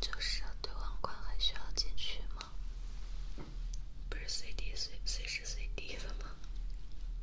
就是兑网款还需要进去吗？不是随地随随时随地的吗？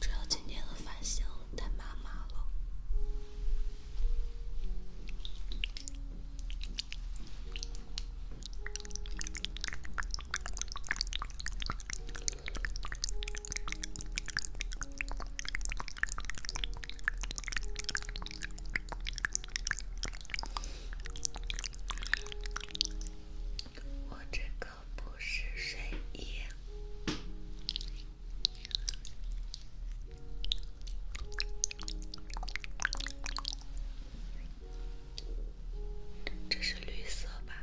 主要今天的发型太麻麻了。我这个不是睡衣，这是绿色吧？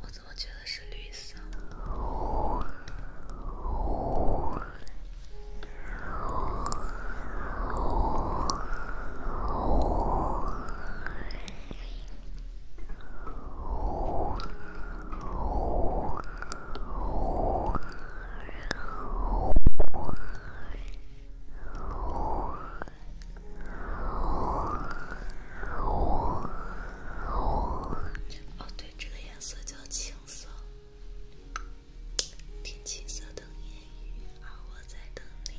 我怎么觉得是绿色？哦，对，这个颜色叫青色。听青色等烟雨，而我在等你。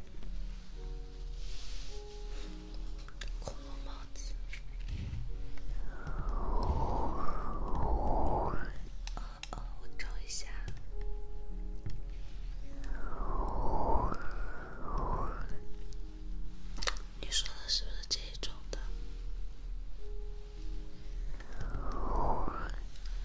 哦哦，我找一下。你说的是不是这一种的？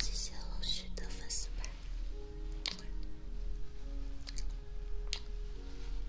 谢谢龙旭的粉丝牌。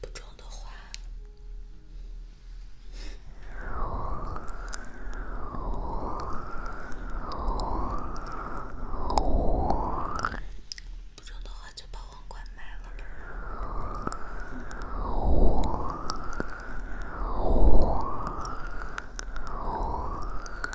不中的话，不中的话就把网关卖了。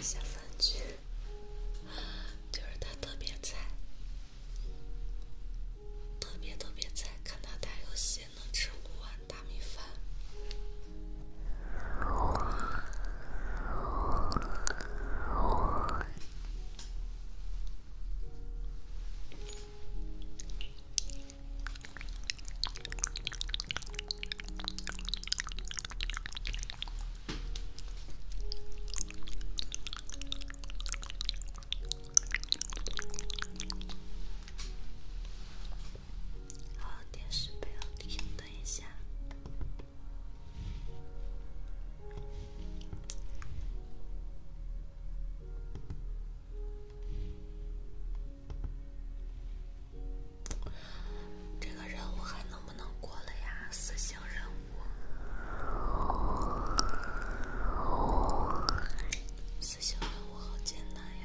下三句，就是他特别菜，特别特别菜，看他打游戏能吃五碗大米饭。好，电视不要停，等一下。这个任务还能不能过了呀？死刑任务，死刑任务好艰难呀。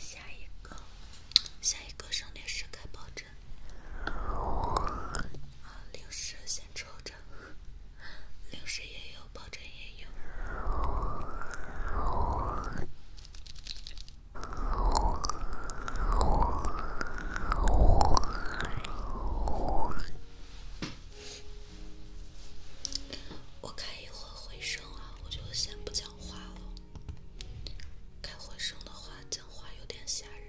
下一个，下一个，上电视开抱枕。啊，零食先抽着，零食也有，抱枕也有。我开一会儿回声啊，我就先不讲话了。开回声的话，讲话有点吓人。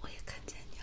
我也看见你了。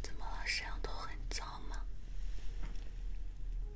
怎么了？摄像头很脏吗？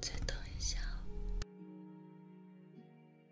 再等一下哦。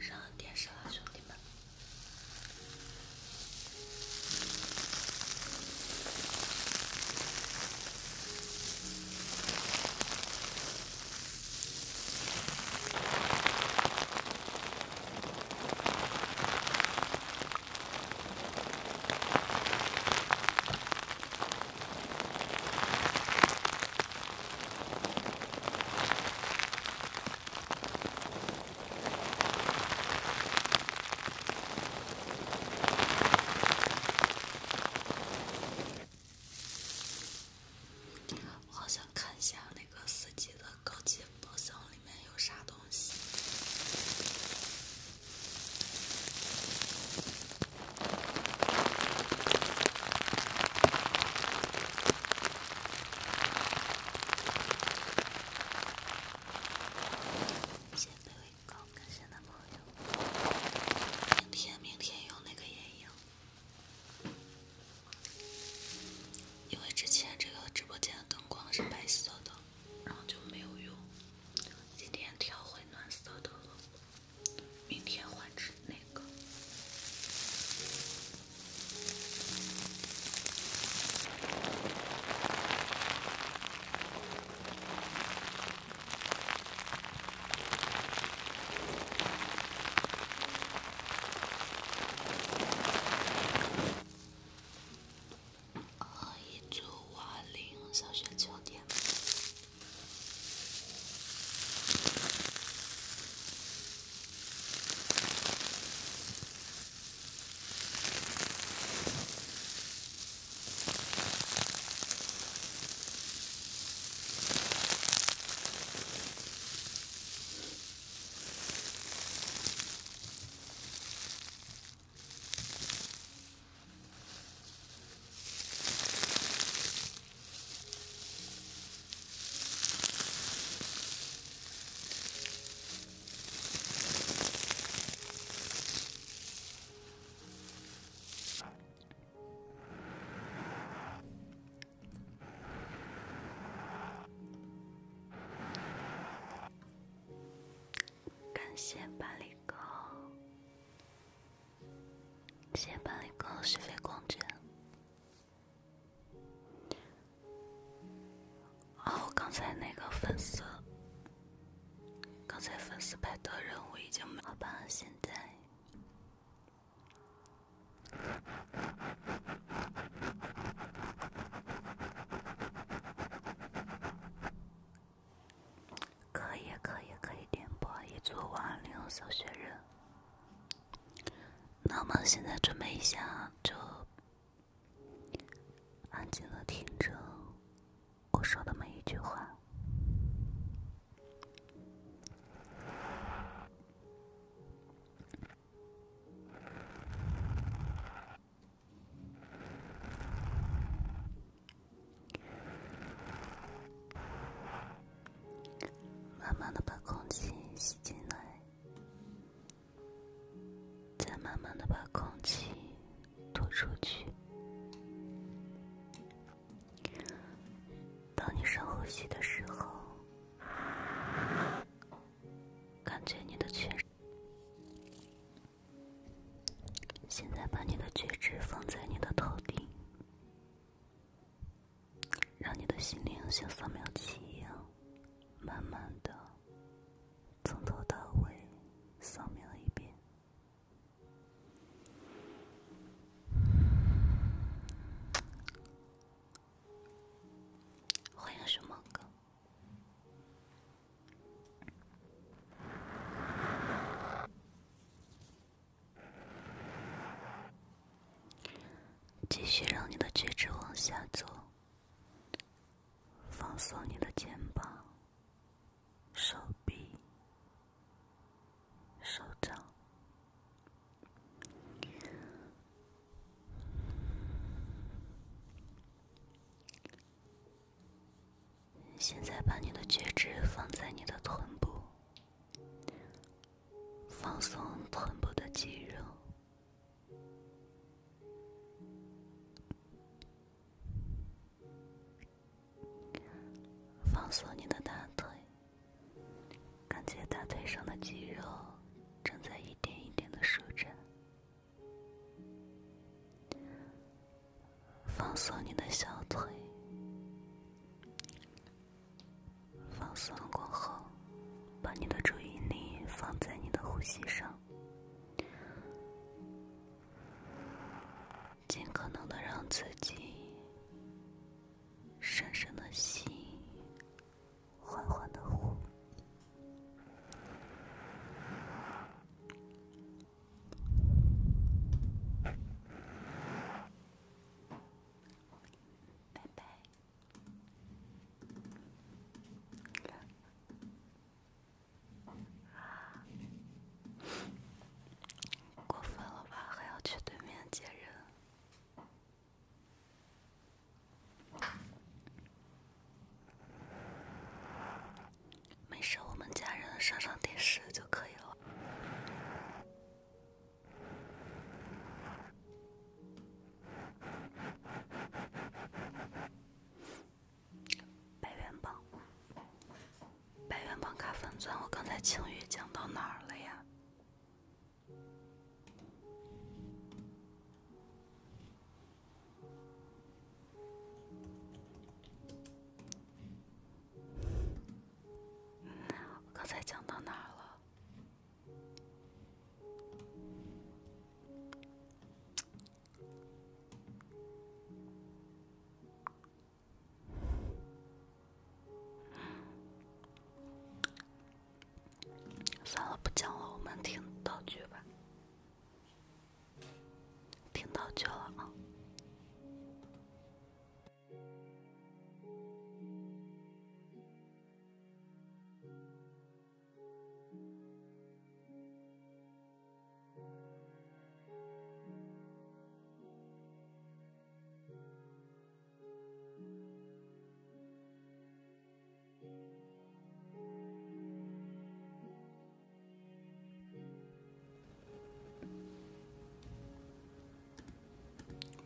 上电视了，兄弟们！好想看一下那个四级的高级宝箱里。没有啥东西。明天，明天用那个眼影，因为之前这个直播间的灯光是白色的。然后就没有用，今天调回暖色的了，明天换只那个。二一组瓦林小学秋天。感谢办理。狗，先帮一个是非光具。哦，刚才那个粉丝，刚才粉丝派的任务已经没。好吧，现在。可以，可以，可以点播一组《万灵小学人》。那么现在准备一下，就安静的听着我说的每一句话。慢慢的把空气吸进来，再慢慢的把空气吐出去。当你深呼吸的时候，感觉你的全身。现在，把你的觉知放在你的头顶，让你的心灵像扫描器一样，慢慢的从头到尾扫描一遍。欢迎熊猫哥。继续让你的屈指往下走，放松你的肩膀、手臂、手掌。现在把你的觉知放在你的臀部，放松臀部的肌肉，放松你的大腿，感觉大腿上的肌肉正在一点一点的舒展。放松你的小腿，放松过后，把你的注意力放在你的呼吸上，尽可能的让自己深深的吸，缓缓的呼。拜拜。过分了吧，还要去对面接人。没事，我们家人上上电视就可以了。白元榜，白元榜卡粉钻，我刚才情欲讲到哪儿了呀？我刚才讲到哪了？算了，不讲了，我们听道具吧。听到就了啊。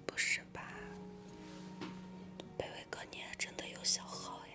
不是吧，北威哥，你也真的有小号呀？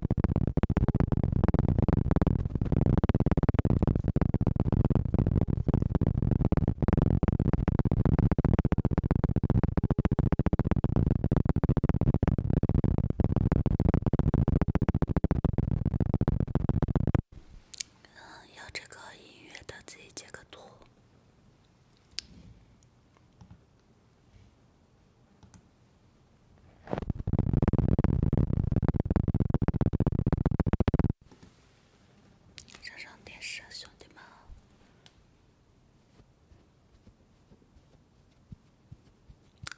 嗯，要这个音乐的自己截个图。啥啥电视，兄弟们！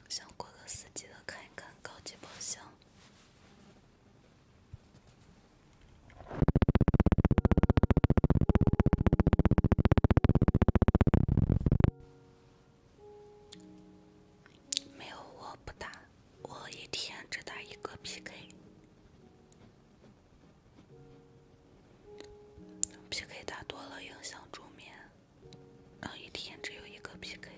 想过个四级的，看一看高级宝箱。没有，我不打，我一天只打一个 PK，PK 打多了影响助眠，然后一天只有一个 PK。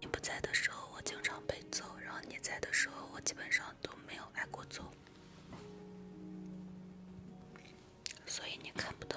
你不在的时候我经常被揍，然后你在的时候我基本上都没有挨过揍。所以你看不到。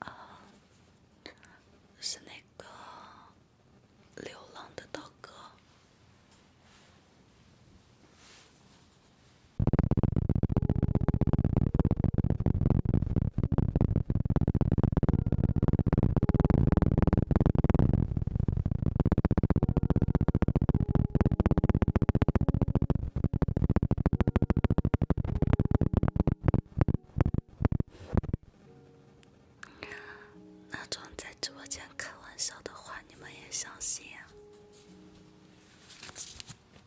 啊，是那个流浪的刀哥。那种在直播间开玩笑的话，你们也相信？